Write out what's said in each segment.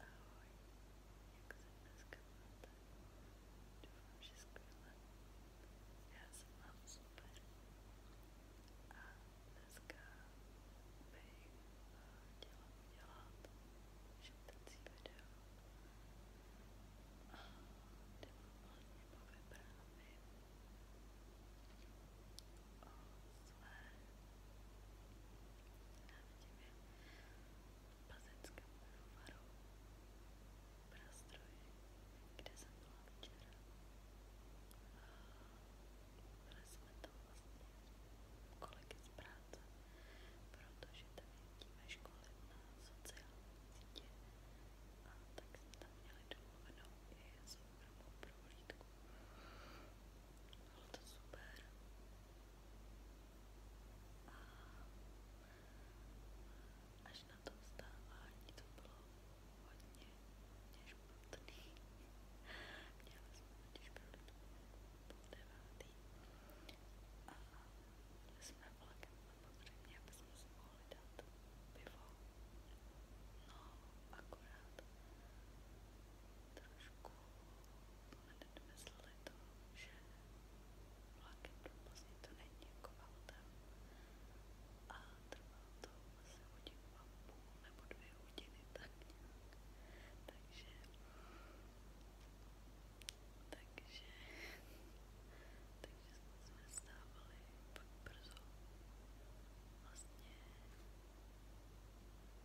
Ahoj, jak se dneska máte? Doufám, že skvěle. Já se mám super. A dneska bych chtěla udělat šeptací video. A kde vám vlastně povyprávím své návštěvě plzeňskému novaru Prastroji, kde jsem byla včera. Byli jsme tam vlastně kolegy z práce, protože tam jezdíme školit na sociální sítě a tak jsme tam měli domluvenou i soukromou prohlídku bylo to super a až na to vstávání to bylo hodně, hodně špatný měla jsme totiž prolít půl devátý a byli jsme vlakem samozřejmě, aby jsme si mohli dát pivo no akorát trošku vlaku. Jako Hned mysleli to, že vlakem do Plzně to není jako autem. A trvalo to asi hodinu a půl nebo dvě hodiny tak nějak. Takže... Takže... Takže jsme stávali pak brzo. Vlastně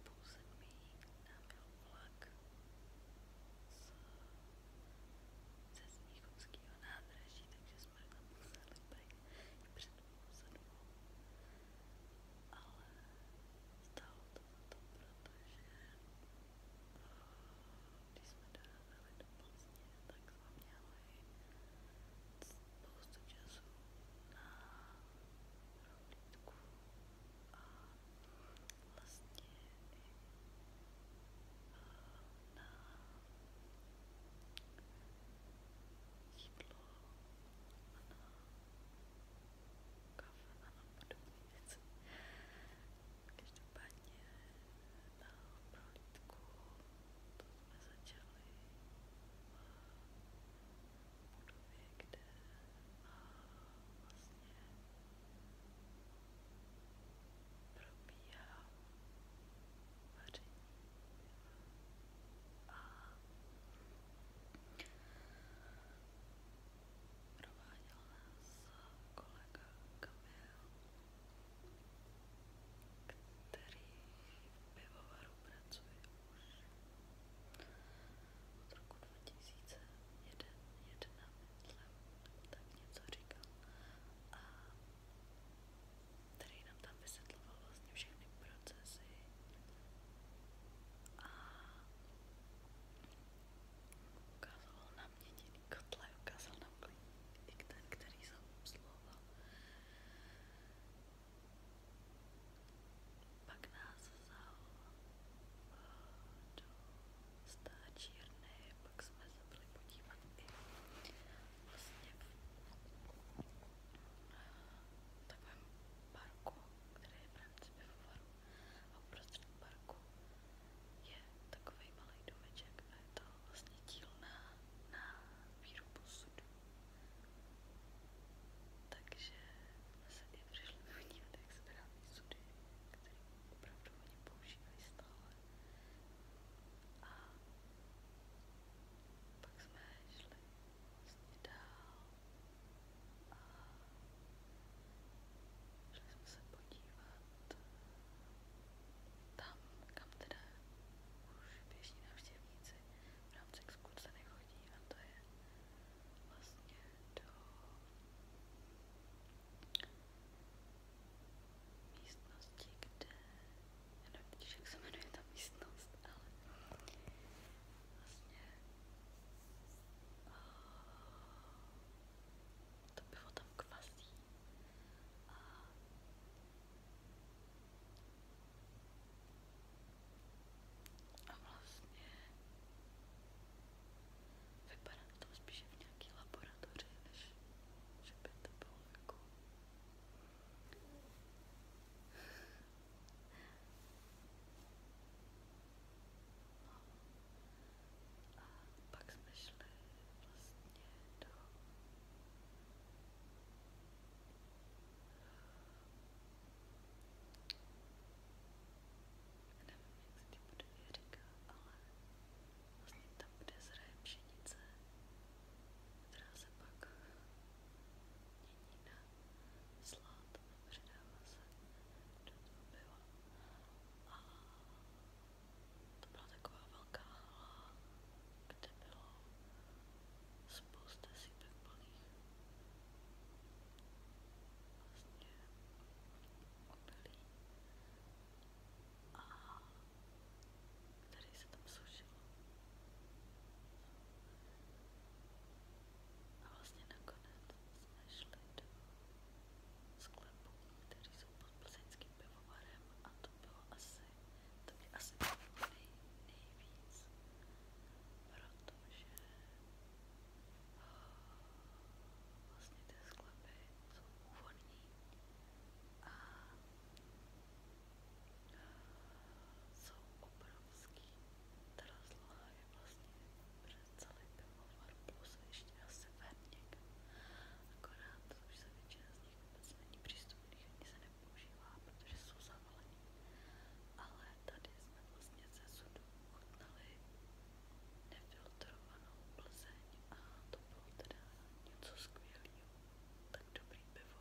pouzemí nám byl vlak z, ze Smíchovského nádraží, takže jsme tam museli být i před půl sedmou. Ale stálo to za to, protože když jsme dorazili do Plzně, tak jsme měli spoustu času na pořádku a vlastně i na jídlo a na kafe a na podobné věci. Každopádně eh, na prohlídku to jsme začali budově, kde vlastně probíhá vaření a prováděl nás kolega Kamil, který v pivovaru pracuje z roku 2001, jedna, myslím, tak něco říkal a který nám tam vysvětloval vlastně všechny procesy a ukázal nám jediný kotle, ukázal nám klíč, i ten, který jsem obsluhoval. Pak nás vzal do stáčírny, pak jsme se byli podívat i vlastně v takovém parku, který je v rámci pivovaru a uprostřed parku je takový malý domeček a je to vlastně dílna na výrobu sudu takže se vlastně i přišli vyvnívat, jak se vyrábí sudy, které opravdu oni používají stále. A pak jsme šli vlastně dál a šli jsme se podívat tam, kam teda už běžní návštěvníci v rámci exkurze nechodí a to je vlastně do místnosti, kde já nevím, jak se jmenuje ta místnost, ale vlastně a, to pivo tam kvasí a a vlastně vypadá to spíše v nějaký laboratoři, než že by to bylo jako... No. A pak jsme šli vlastně do nevím, jak se ti bude říkat, ale vlastně tam, kde zraje pšenice, která se pak mění na slad a přidává se do toho piva. A to byla taková velká hala, kde bylo spousta sypek plných vlastně obilí a tady se tam sušilo. A vlastně nakonec jsme šli do sklepu, který jsou pod plzeňským pivovarem a to bylo asi, to mě asi bavilo nej, nejvíc protože eh, vlastně ty sklepy jsou úvodní a eh, jsou obrovský. Ta rozloha je vlastně přes celý pivovar plus ještě asi verník. Akorát už se většina z nich vůbec není přístupných ani se nepoužívá, protože jsou zavalení ale tady jsme vlastně ze sudu chutnali nefiltrovanou plzeň a to bylo teda něco skvělého, tak dobrý pivo.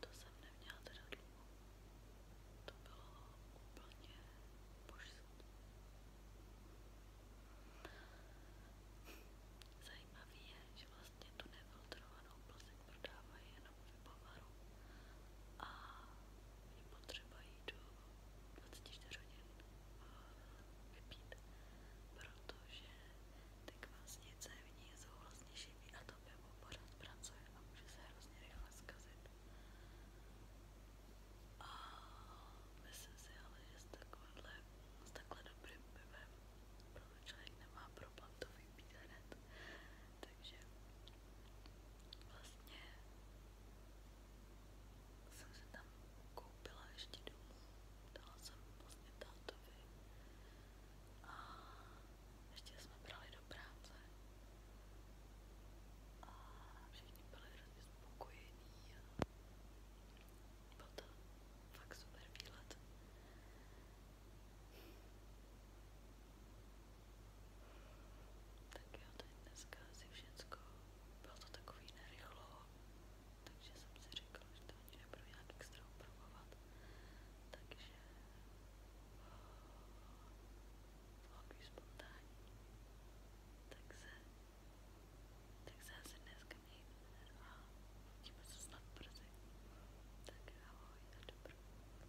To jsem neměla teda dlouho, to bylo úplně božství. Zajímavý je, že vlastně tu nefiltrovanou plzeň prodávají na moje Bavaru a je potřeba ji do 24 hodin vypít, protože ty kvásnice v ní jsou vlastně živý a to pivo pořád pracuje a může se hrozně rychle zkazit. A myslím si ale, že s, s takhle dobrým pivem, protože člověk nemá problém to vypít hned, takže vlastně jsem se tam koupila ještě domů, dala jsem vlastně tátovi a ještě jsme brali do práce a všichni byli hrozně spokojení a byl to fakt super výlet. Tak jo, to je dneska asi všecko. Bylo to takový nerychlo, takže jsem si řekla, že to ani nebudu nějak extra upravovat. Takže eh, takový spontánní. Tak se, tak se asi dneska mějte a uvidíme se snad brzy. Tak ahoj a dobrou.